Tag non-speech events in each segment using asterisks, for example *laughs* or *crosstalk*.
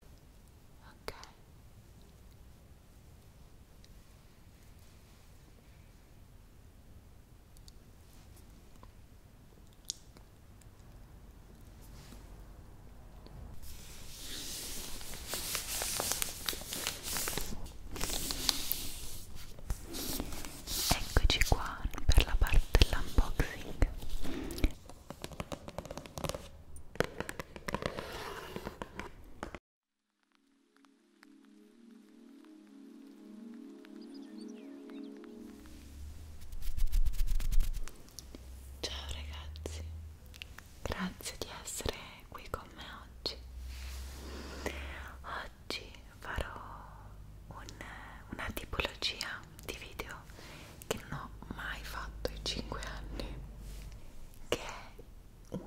ok Eccoci qua per la parte dell'unboxing Ciao ragazzi, grazie di essere qui con me oggi. Oggi farò un, una tipologia di video che non ho mai fatto in 5 anni che è un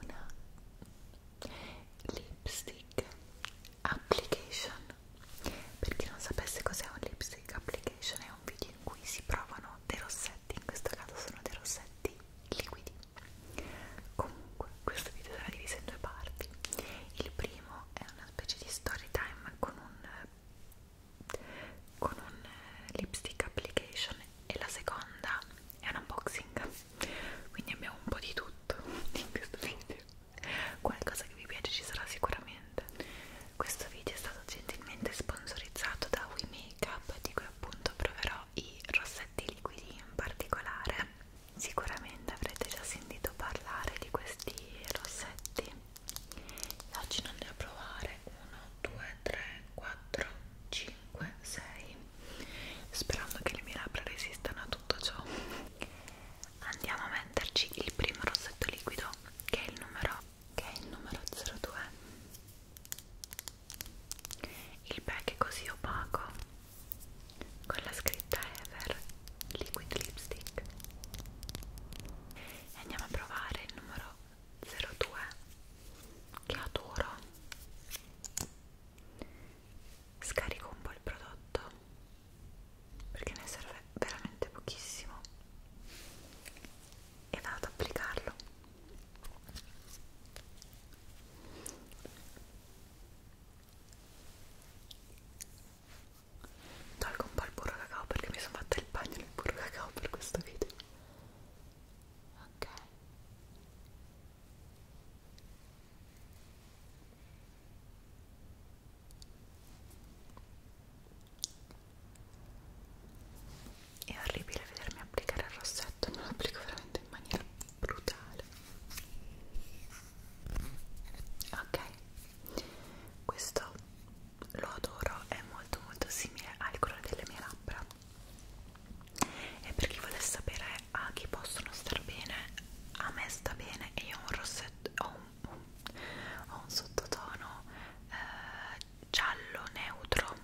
una lipstick application per chi non sapesse cos'è un lipstick application è un video in cui si provano dei rossetti in questo caso sono dei rossetti liquidi comunque questo video sarà diviso in due parti il primo è una specie di story time con un con un eh, lipstick application e la seconda è un unboxing quindi abbiamo un po' di tutto *laughs* in questo video qualcosa che vi piace ci sarà sicuramente questo video è stato gentilmente sponsorizzato da We Makeup di cui appunto proverò i rossetti liquidi in particolare sicuramente avrete già sentito parlare di questi rossetti oggi non ne provare 1, 2, 3, 4, 5, 6 sperando che le mie labbra resistano a tutto ciò andiamo a metterci il primo rossetto liquido che è il numero, che è il numero 02 il pack è così opaco con la scritta Ever Liquid Lipstick e andiamo a provare il numero 02 che adoro scarico un po' il prodotto perché ne serve veramente pochissimo e vado ad applicarlo tolgo un po' il burro cacao perché mi sono fatta il bagno nel burro cacao per questo video ok è orribile vedermi applicare il rossetto, me lo applico veramente in maniera brutale. Ok, questo lo adoro, è molto molto simile al colore delle mie labbra e per chi volesse sapere a chi possono star bene, a me sta bene e io ho un rossetto, ho un, un, ho un sottotono eh, giallo neutro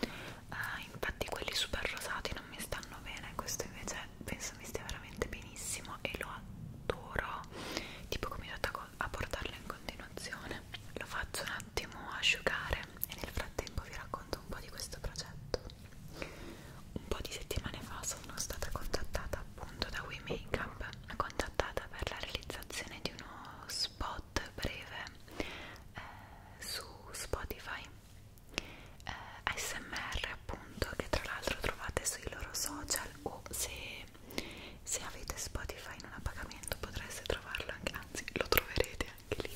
eh, infatti quelli super rosati non mi stanno bene, questo invece penso mi stia veramente benissimo e lo adoro tipo come ho detto a portarlo in continuazione lo faccio un attimo asciugare e nel frattempo vi racconto un po' di questo progetto un po' di settimane fa sono stata contattata appunto da We Makeup contattata per la realizzazione di uno spot breve eh, su Spotify eh, ASMR appunto che tra l'altro trovate sui loro social o se se avete Spotify non a pagamento potreste trovarlo anche, anzi lo troverete anche lì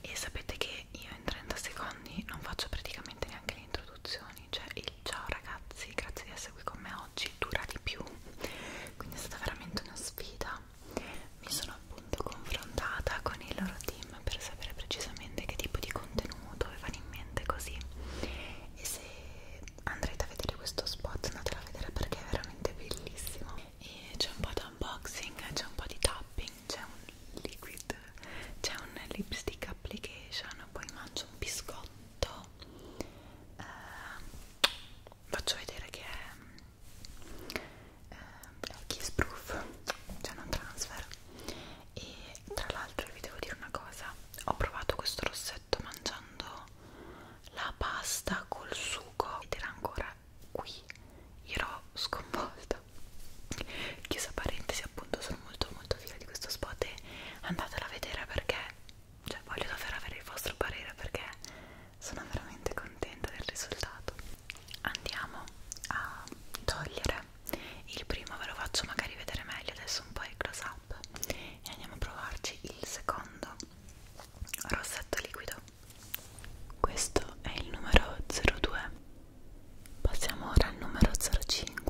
e sapete che io in 30 secondi non faccio praticamente neanche le introduzioni cioè il ciao ragazzi grazie di essere qui con me oggi dura di più quindi è stata veramente una sfida mi sono appunto confrontata con il loro team per sapere precisamente che tipo di contenuto avevano in mente così e se andrete a vedere questo spot andatelo a vedere perché è veramente bellissimo e c'è un po' di unboxing c'è un po' di tapping c'è un liquid c'è un lipstick application poi mangio un biscotto eh, faccio vedere che è, eh, è kiss proof cioè non transfer e tra l'altro vi devo dire una cosa ho provato questo rossetto perfetto mangiando la pasta col sugo ed era ancora qui io ero sconvolta chiusa parentesi appunto sono molto molto fiera di questo spot e andatela a vedere perché cioè voglio davvero avere il vostro parere perché sono veramente contenta del risultato andiamo a togliere il primo ve lo faccio magari vedere meglio adesso un po' il close up app e andiamo a provarci il secondo rossetto liquido questo è il numero 02 passiamo ora al numero 05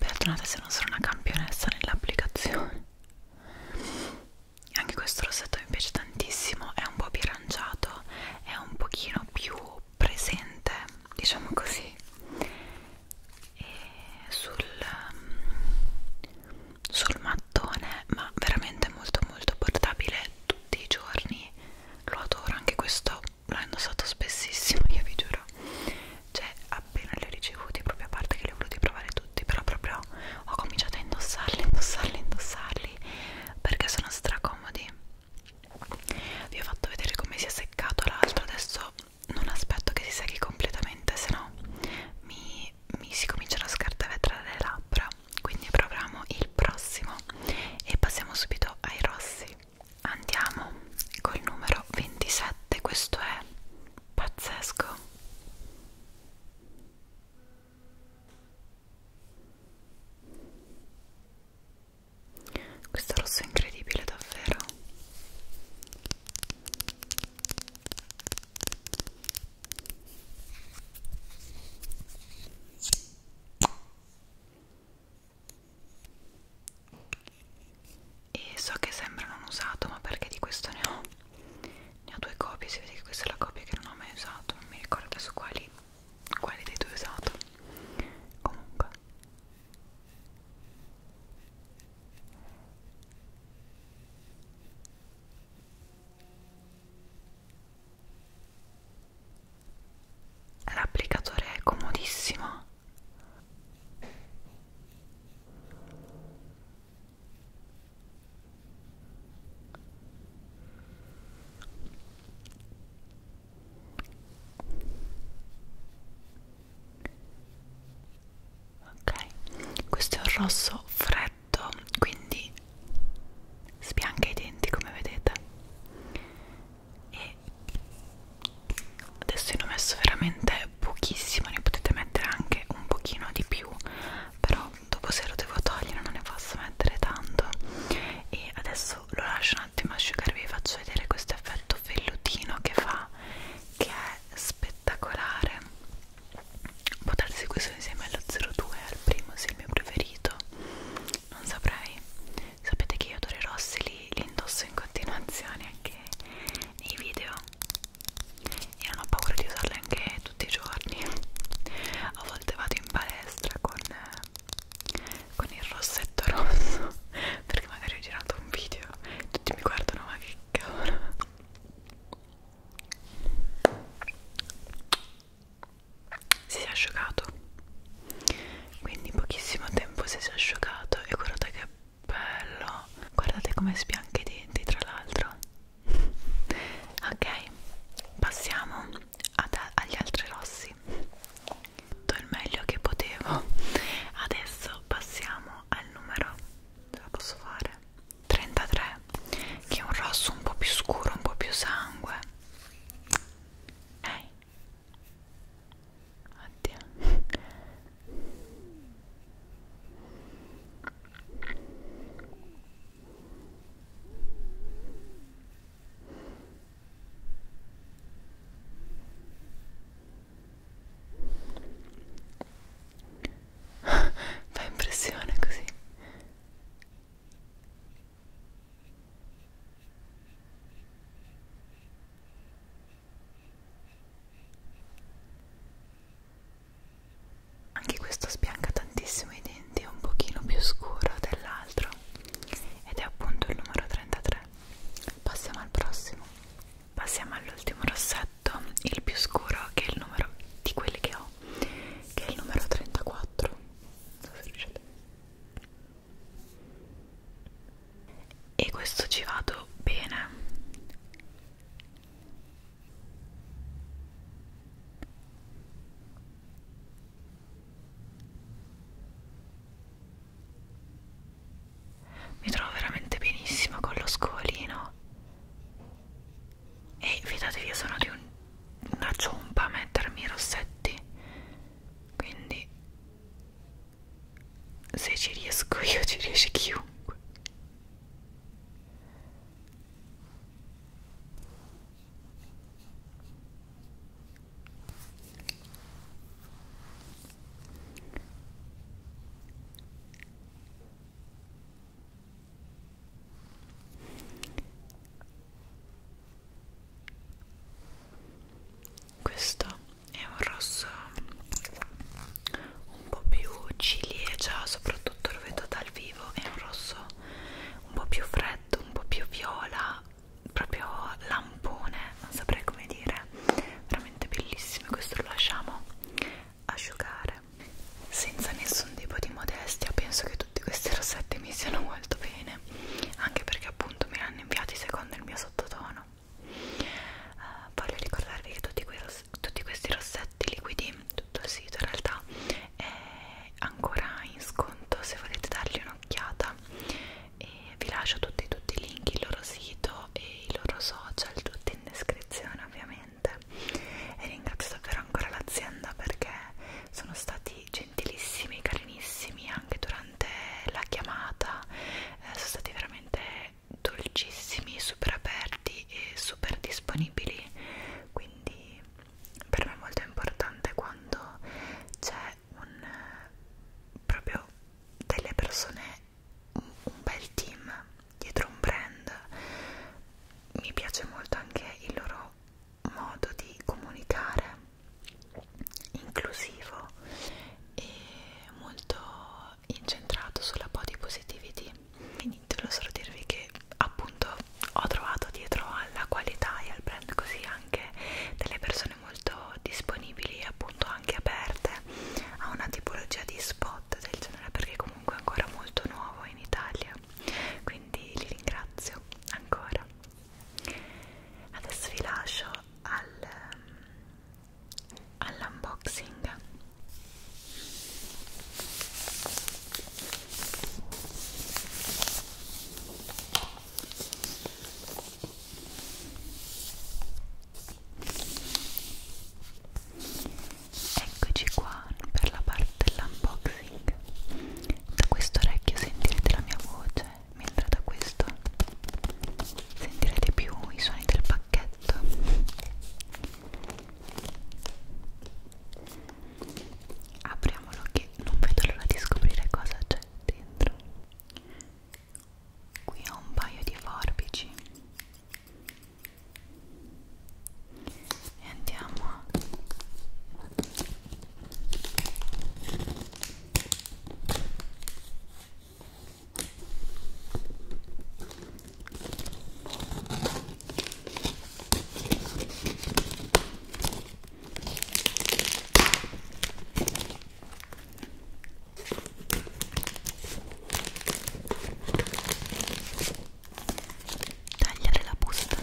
Perdonate se non sono una campionessa nell'applicazione. Anche questo rossetto mi piace tantissimo, è un po' più aranciato, è un pochino più presente diciamo così e sul, sul mattone ma veramente molto molto portabile tutti i giorni lo adoro anche questo l'ho indossato spessissimo *laughs* io vi giuro cioè appena li ho ricevuti proprio a parte che li ho voluti provare tutti però proprio ho cominciato a indossarli indossarli indossarli perché sono stracomodi vi ho fatto vedere come si è seccato l'altro adesso non aspetto che si secchi completamente sennò mi, mi si cominciano a scartavetrare le labbra quindi proviamo il prossimo e passiamo subito ai rossi andiamo col numero 27 questo è pazzesco questo rosso è incredibile davvero e so che sembra non usato ma perché di questo ne ho ne ho due copie si vede che questa è la copia che non ho mai usato non mi ricordo adesso quali quale dei due ho usato comunque l'applicatore è comodissimo ok questo è un rosso freddo quindi spianca i denti come vedete e adesso ne ho messo veramente pochissimo ne potete mettere anche un pochino di più però dopo se lo devo togliere non ne posso mettere tanto e adesso lo lascio un un attimo asciugarvi vi faccio vedere questo effetto vellutino che fa che è spettacolare può darsi questo insieme allo 02 al primo se il mio preferito non saprei sapete che io odori rossi li, li indosso in continuazione anche nei video io non ho paura di usarli anche tutti i giorni a volte vado in palestra con con il rossetto rosso *laughs* perché magari ho girato un video e tutti mi guardano ma che cavolo si è asciugato quindi in pochissimo tempo si è asciugato e guardate che bello guardate come sbianca i denti tra l'altro *laughs* ok passiamo ad, agli altri rossi tutto il meglio che potevo adesso passiamo al numero ce la posso fare 33 che è un rosso un po' più scuro un po' più sangue ehi hey. oddio *laughs* Fa impressione così. Anche questo sbianca tantissimo i denti sicuramente è un pochino più scuro dell'altro ed è appunto il numero 33 passiamo al prossimo passiamo all'ultimo rossetto il più scuro che è il numero di quelli che ho che è il numero 34 non so se riuscite e questo ci vado bene mi trovo veramente benissimo con lo scovolino. E fidatevi, io sono di un, una ciompa a mettermi i rossetti. Quindi, se ci riesco io, ci riesce chiunque. Questo è un rosso un po' più ciliegia, eh, soprattutto lo vedo dal vivo, è un rosso un po' più freddo, un po' più viola proprio lampone, non saprei come dire, veramente bellissimo. Questo lo lasciamo asciugare senza nessun tipo di modestia. Penso che tutti questi rossetti mi siano molto bene, anche perché appunto me li hanno inviati secondo il mio sottotono. Uh, voglio ricordarvi che tutti, que tutti questi rossetti liquidi, tutto il sito in realtà, è ancora in sconto se volete dargli un'occhiata Instagram e vi lascio tutti, tutti i link, il loro sito e i loro social, tutti in descrizione ovviamente e ringrazio davvero ancora l'azienda perché sono stati gentilissimi, carinissimi anche durante la chiamata eh, sono stati veramente dolcissimi, super aperti e super disponibili quindi per me è molto importante quando c'è un proprio delle persone, un, un bel team dietro un brand. Mi piace molto anche il loro modo di comunicare inclusivo e molto incentrato sulla body positivity. E niente, volevo solo dirvi che appunto ho trovato dietro alla qualità e al brand così anche delle persone molto disponibili e appunto anche aperte a una tipologia di spot del genere perché comunque è ancora molto nuovo in Italia quindi li ringrazio ancora adesso vi lascio al, all'unboxing Eccoci qua per la parte dell'unboxing. Da questo orecchio sentirete la mia voce, mentre da questo sentirete più i suoni del pacchetto. Apriamolo che non vedo l'ora di scoprire cosa c'è dentro qui ho un paio di forbici e andiamo a tagliare la busta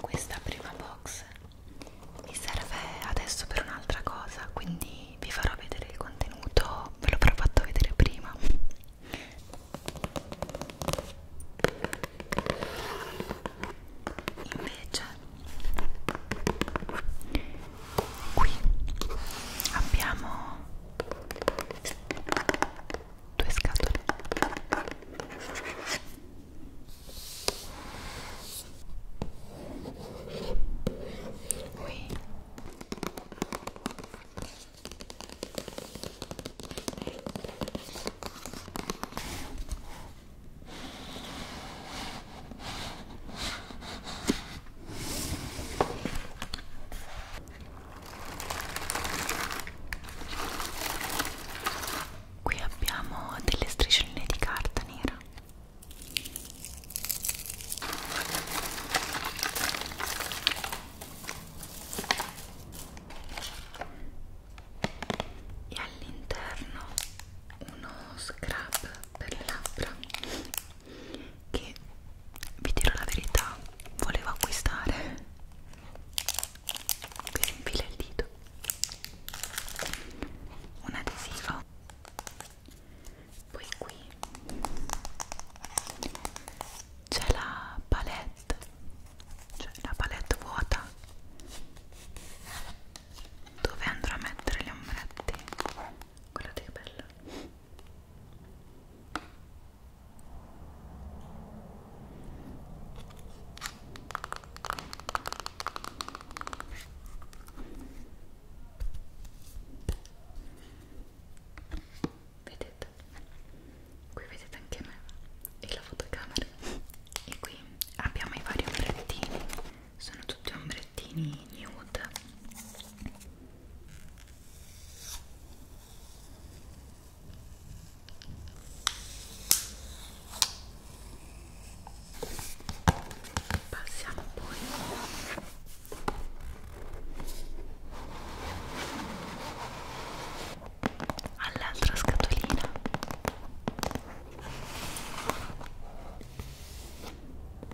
questa prima box mi serve adesso per un'altra cosa, quindi vi farò vedere il contenuto, ve l'ho però fatto vedere prima. Invece qui abbiamo due scatole qui Qui abbiamo delle striscioline di carta nera. E all'interno uno scrub per le labbra che vi dirò la verità volevo acquistare si infila il dito un adesivo poi qui c'è la palette cioè la palette vuota dove andrò a mettere gli ombretti guardate che bello vedete qui vedete anche me e la fotocamera e qui abbiamo i vari ombrettini sono tutti ombrettini nude passiamo poi all'altra scatolina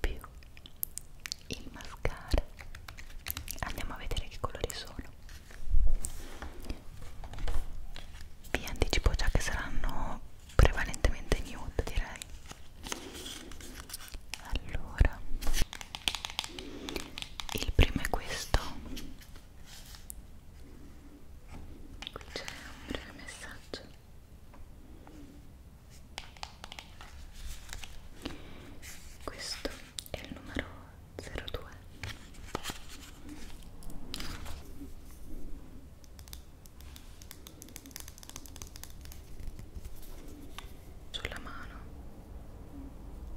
più il mascara andiamo a vedere che colori sono vi anticipo già che saranno prevalentemente nude direi allora il primo è questo qui c'è un breve messaggio questo è il numero 02 sulla mano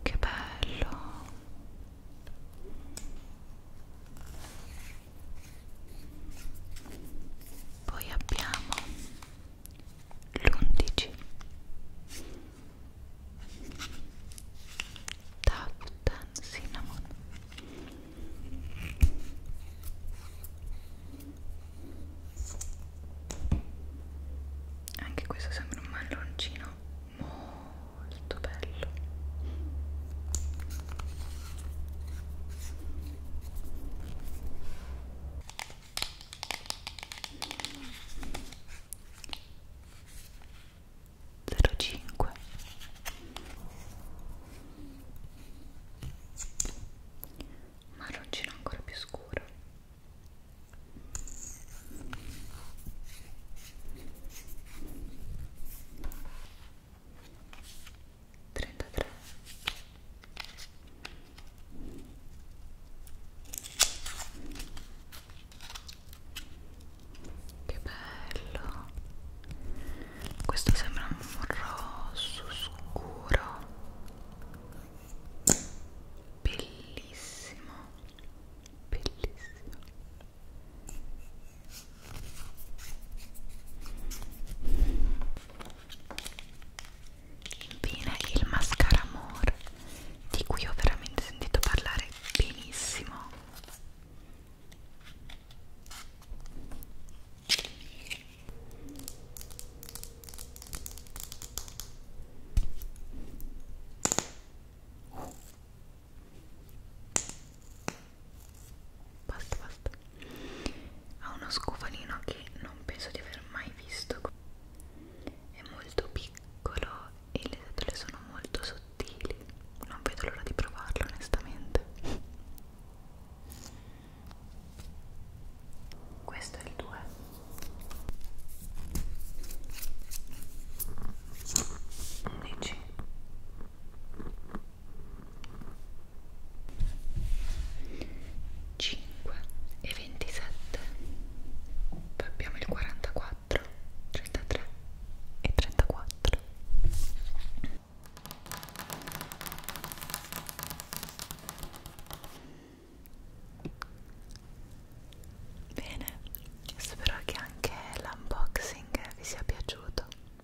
che bello poi abbiamo l'undici Taft and Cinnamon anche questo sembra un malloncino molto bello zero cinque marroncino ancora più scuro 33 che bello questo sembra un rosso scuro bellissimo bellissimo Infine il mascara More, di cui ho veramente sentito parlare benissimo. Uh basta basta ha uno scovalino che non penso di aver mai visto è molto piccolo e le setole sono molto sottili non vedo l'ora di provarlo onestamente questo è il 2 11 5 e 27 poi abbiamo il 44 33 e 34 bene spero che anche l'unboxing vi sia piaciuto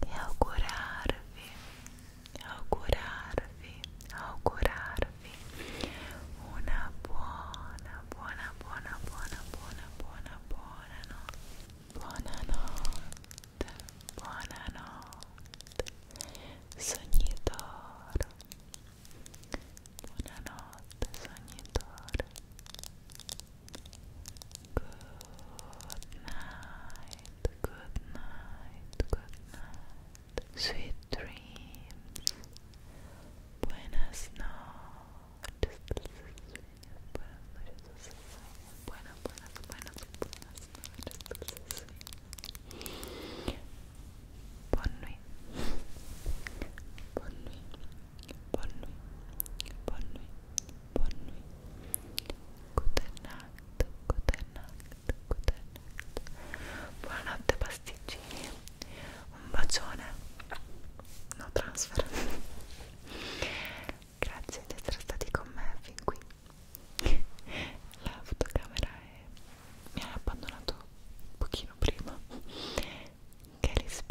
e augurarvi, augurarvi, una buona, buona, buona, buona, buona, buona, buona notte. Buonanotte, buonanotte, sognitore. Buonanotte, sognitore. Good night, good night, good night. Sweet dreams. Buenas noches. Buenas, buenas, buenas, buenas noches. Bonne nuit. Bonne nuit. Bonne nuit. Bonne nuit. Bonne nuit. bonne nuit, good night, good night, good night buonanotte pasticcini un bacione no transfer grazie di essere stati con me fin qui la fotocamera è... mi ha abbandonato un pochino prima che rispera